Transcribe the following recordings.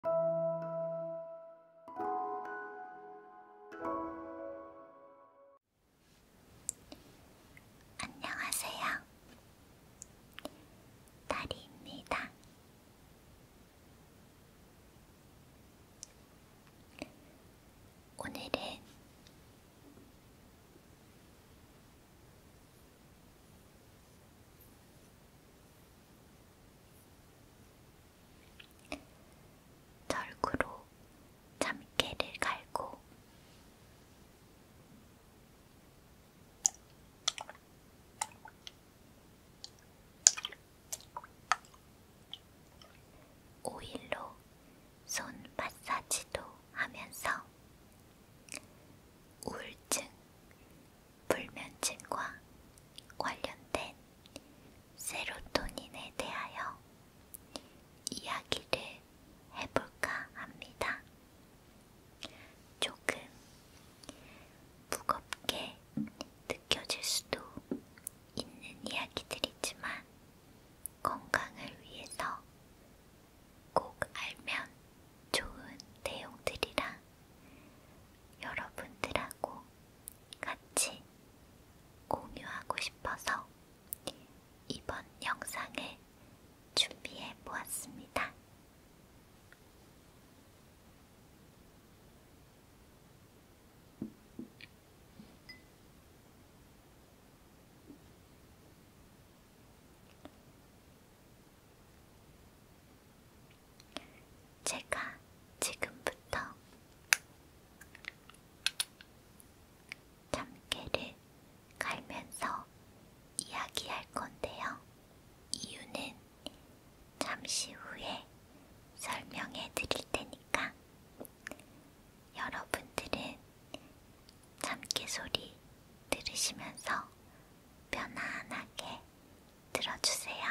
안녕하세요. 다리입니다. 오늘은 절구로 참깨를 갈고 오일로 손 마사지도 하면서 우울증, 불면증과 관련된 세로토닌에 대하여 이야기를 해볼까 합니다. 조금 무겁게 느껴질 수도 있는 이야기들이지만 건강을 위해서 꼭 알면 좋은 내용들이라 여러분들하고 같이 공유하고 싶어서 이번 영상을 준비해 보았습니다. 제가 지금부터 참깨를 갈면서 이야기할 건데요. 이유는 잠시 후에 설명해 드릴 테니까 여러분들은 참깨 소리 들으시면서 편안하게 들어주세요.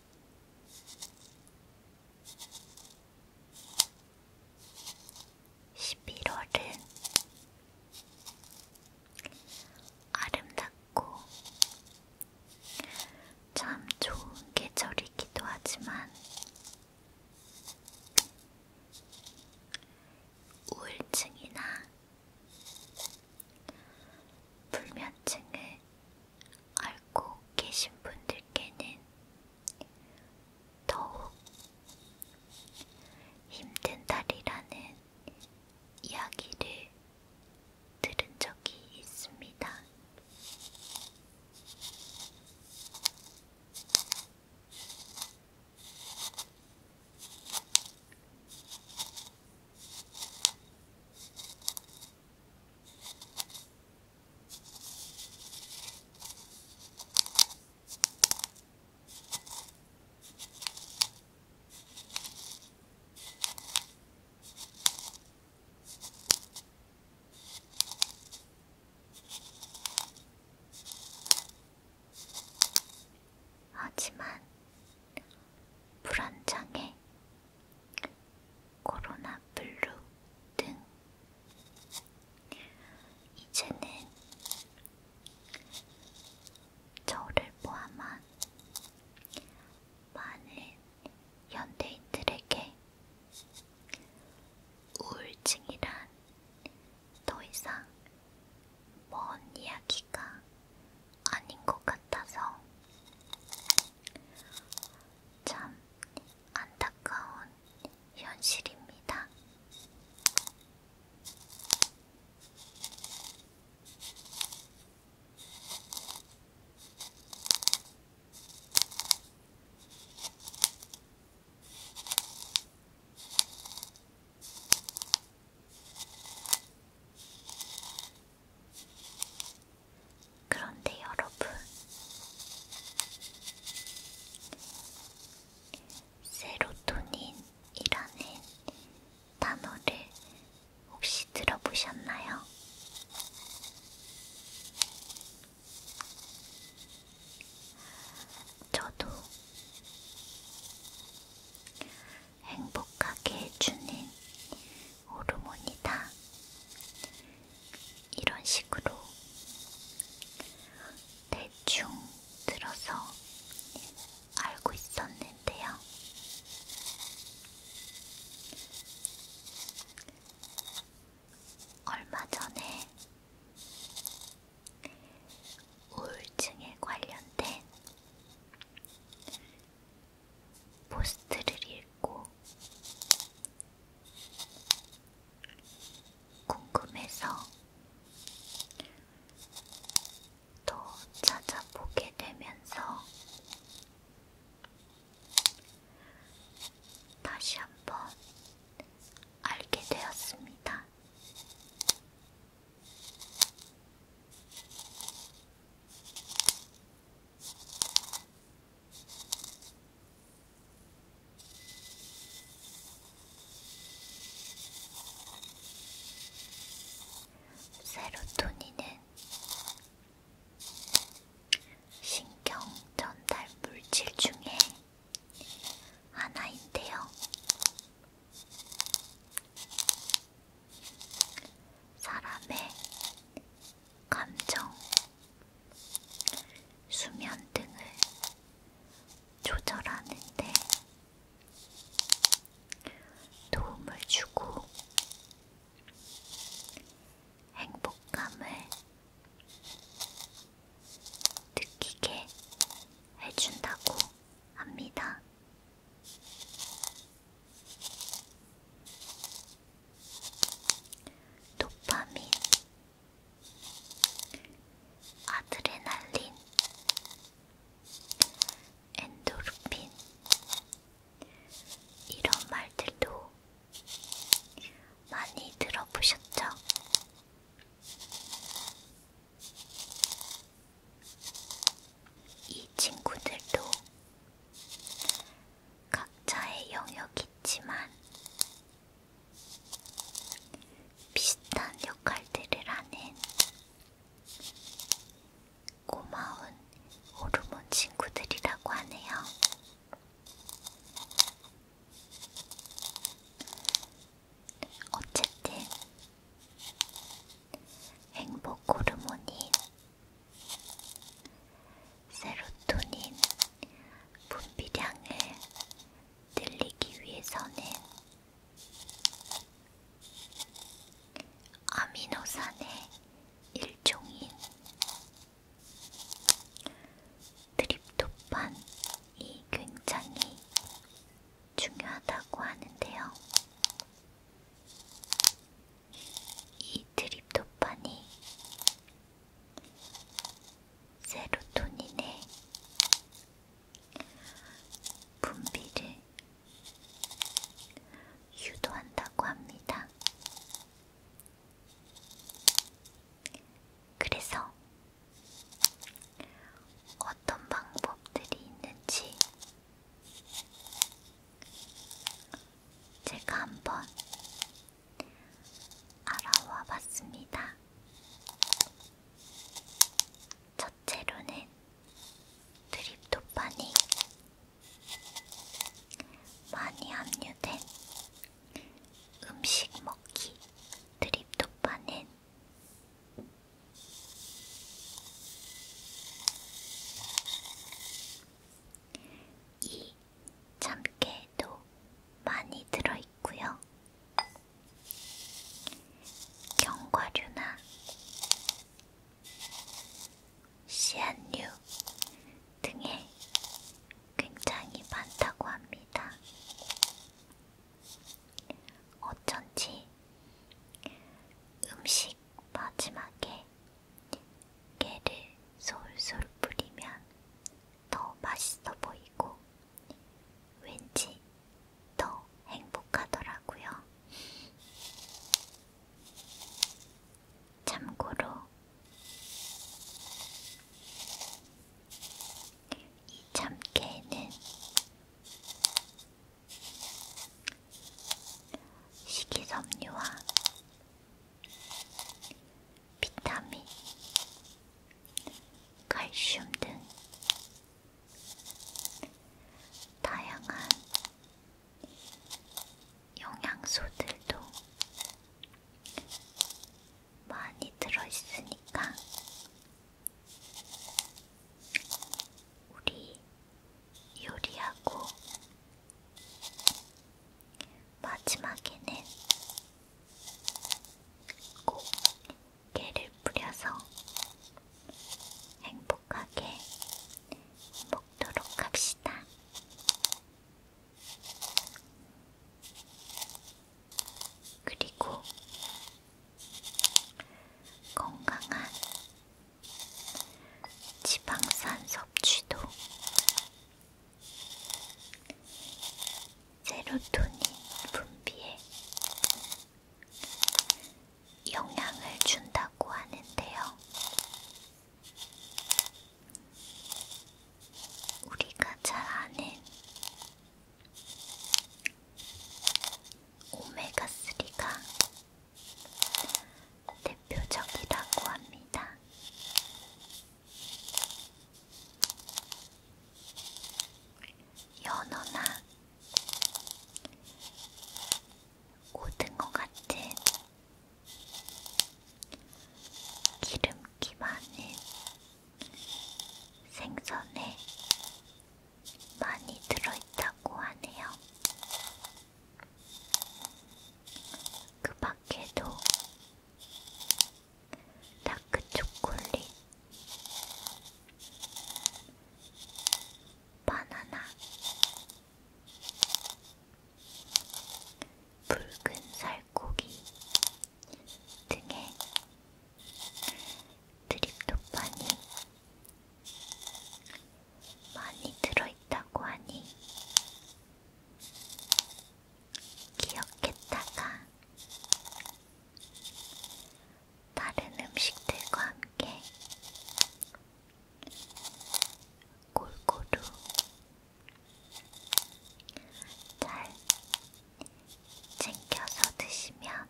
11월은 아름답고 참 좋은 계절이기도 하지만 우울증이나 불면증을 알고 계신 분들께는 더욱 힘든 달이라는 이야기를 들은 적이 있습니다. 하지만 불안장애 코로나 블루 등 이제는 저를 포함한 많은 연대인들에게 우울증이란 더 이상 먼 이야기가 아닌 것 같아서 참 안타까운 현실입니다. 그런데 여러분, 세로토닌이라는 단어를 혹시 들어보셨나요? 저도 행복하게 해주는 호르몬이다. 이런 식으로 대충 들어서 알고 있었는데요. 얼마 전에 우울증에 관련된 포스트를 읽고 궁금해서 더 찾아보게 되면서 다시 한번 알게 되었습니다. 세로토닌은 신경 전달 물질 중에 하나인데요. 사람의 감정, 수면 등을 조절하는데 도움을 주고 행복감을 느끼게 해준다고 합니다. 도파민, 아드레날린, 엔도르핀 이런 말들도 많이 들어보셨죠? 이 친구들도 각자의 영역이지만 비슷한 역할들을 하는 고마운 호르몬 친구들이라고 하네요. 어쨌든 행복 호르몬이 세로토닌 분비량을 늘리기 위해서는 아미노산의 일종인 트립토판이 굉장히 중요하다고 하는데요. 이 트립토판이 세로토닌의 분비를 유도한다고 합니다. 그래서 어떤 방법들이 있는지 제가 한번 알아와 봤습니다. 첫째로는 트립토판이 많이 함유된 음식 먹기 트립토판은 이 참깨도 많이 들어있고요. 견과류나 씨앗류 등에 굉장히 많다고 합니다. 어쩐지 음식 번씩 마지막에 깨를 솔솔 뿌리면 더 맛있어 보이고 왠지 더 행복하더라고요. 참고로 이 참깨는 식이섬유와 비타민, 칼슘 등 다양한 영양소들도 많이 들어있으니까 우리 요리하고 마지막에는 꼭 깨를 뿌려서 행복하게 먹도록 합시다. 그리고 건강한 지방산 섭취도 세로토닌 분비에 영향을 준다고 하는데요. 우리가 잘 아는 오메가3가 대표적이라고 합니다. 연어나 고등어 같은 기름기 많은 생선에 많이 들어있다고 하네요. 그 밖에도 다크 초콜릿, 바나나, 붉은 살코기 등의 드립토판이 많이 들어있다고 하니 기억했다가 다른 음식들과 함께 골고루 잘 챙겨서 드시면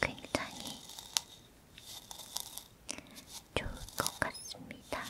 굉장히 좋을 것 같습니다.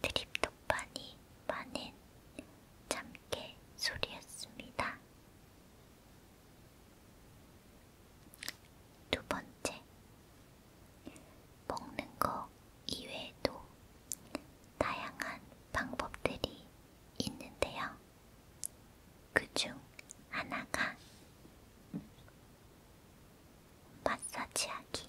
크립토판이 많은 참깨 소리였습니다. 두 번째, 먹는 것 이외에도 다양한 방법들이 있는데요. 그중 하나가 마사지하기.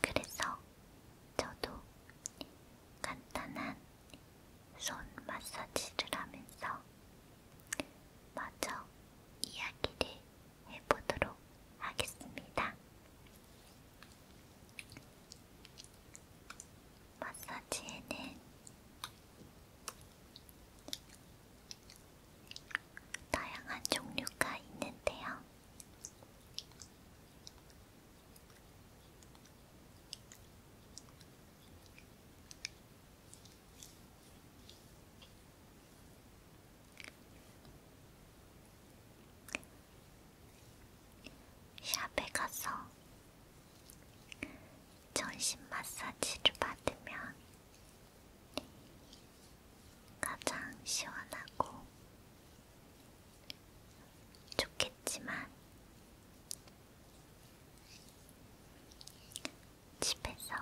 그래서 저도 간단한 손 마사지를 하면서 마저 이야기를 해보도록 하겠습니다. 마사지에는 다양한 종류가 있는데요. 샵에 가서 전신 마사지를 받으면 가장 시원하고 좋겠지만 집에서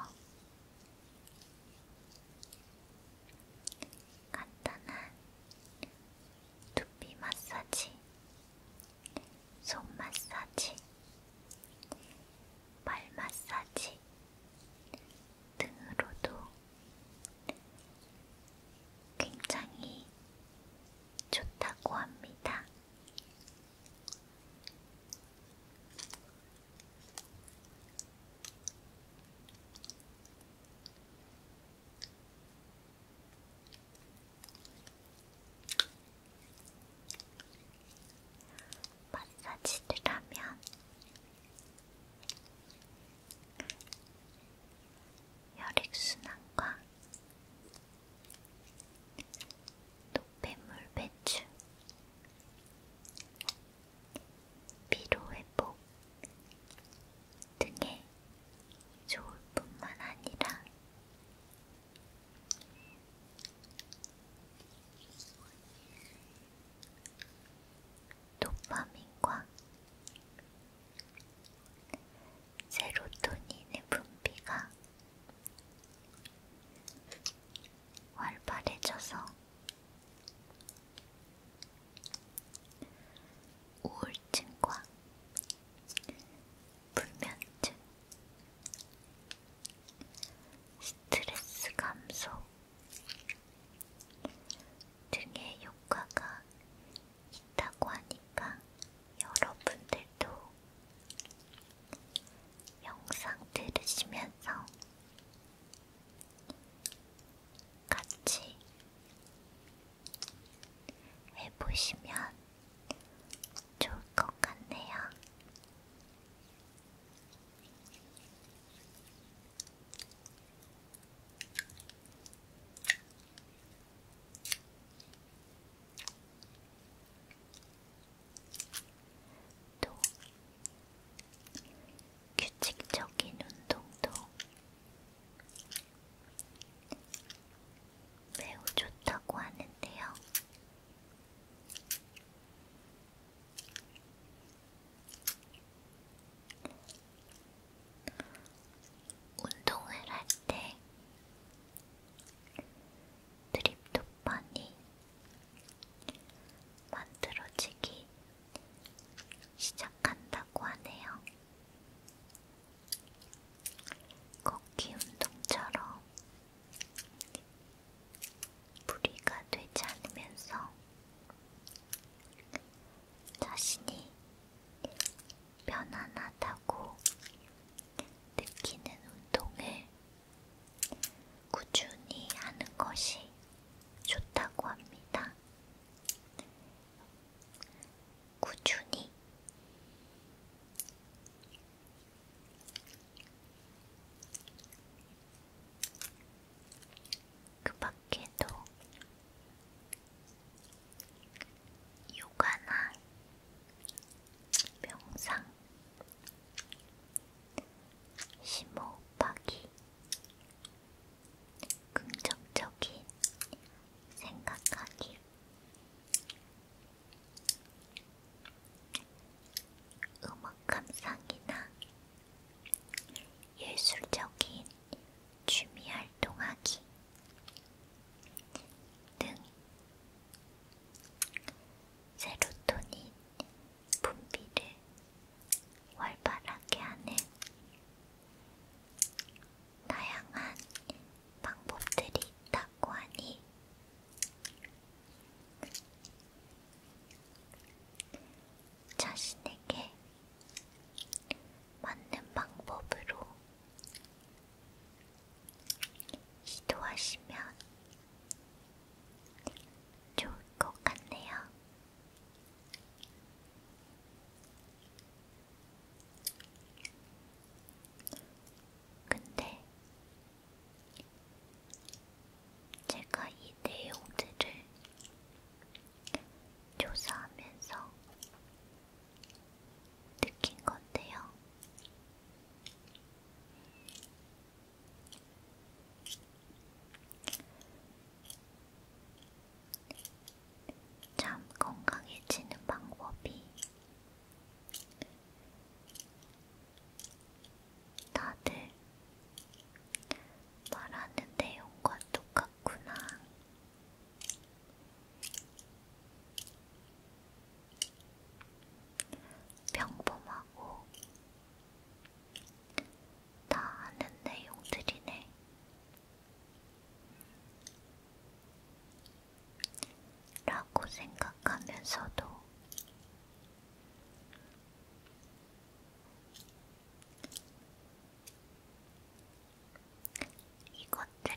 간단한 두피 마사지, 손 마사지, 발 마사지, 등으로도 굉장히 좋다고 합니다. 마사지를 하면 혈액순환과 노폐물 배출, 피로회복 등에 좋을 뿐만 아니라 도파민과 세로토닌의 분비가 활발해져서 우울증과 불면증, 스트레스 감소, 등의 효과가 있다고 하니까 여러분들도 영상 들으시면서 같이 해보시면 좋을 것 같네요. 또 규칙적인 운동도 매우 좋다고 하는데요. 운동을 할 때 드립토판이 만들어지기 시작한다고 하네요. 걷기 운동처럼 무리가 되지 않으면서 자신이 편안하다고 느끼는 운동을 꾸준히 하는 것이 좋다고 합니다. 꾸준히 그 밖에도 요가나 명상, 심호흡하기, 긍정적인 생각하기, 음악 감상이나 예술적인 취미 활동하기 등 세로토닌 분비를 활발하게 하는 다양한 방법들이 있다고 하니 자신에게 맞는 방법으로 시도하시면 좋을 것 같네요. 근데 제가 이 내용들을 조사하면서 느낀 건데요. 참 건강해지는 방법이 다들 말하는 내용과 똑같구나. 평범하고 다 아는 내용들이네. 라고 생각하면서도 이것들을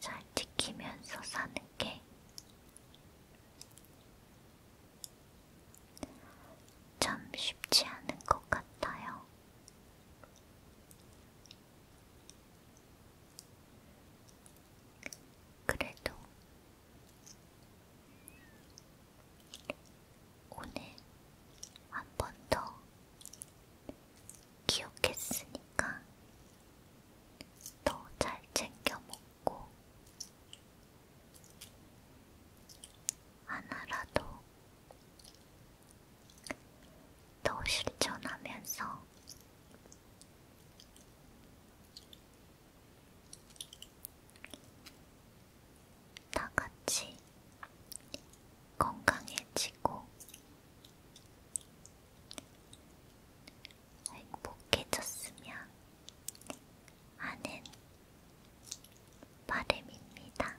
잘 지키면서 사는 게 참 쉽지 않은 것 같아요. 그래도 오늘 한 번 더 기억했으니까 더 잘 챙겨 먹고 하나라도 더 실천하면서 다 같이 건강해지고 행복해졌으면 하는 바람입니다.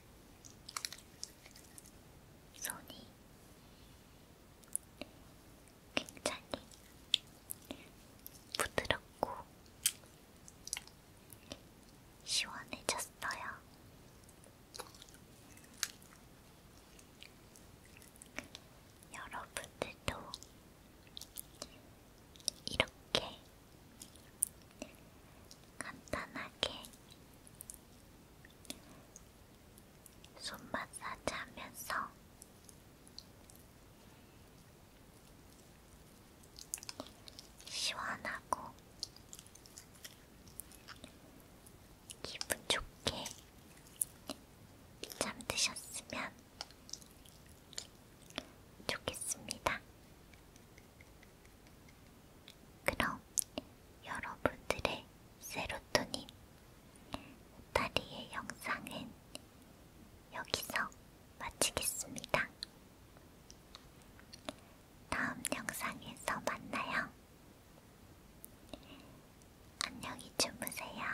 손이 굉장히 부드럽고 시원해졌어요. 여러분들도 이렇게 간단하게 손 마사지 하면서 시원하고 기분 좋게 잠드셨으면 좋겠습니다. 그럼 여러분들의 세로토닌 다리의 영상은 여기서 마치겠습니다. 다음 영상에서 만나요. 안녕히 주무세요.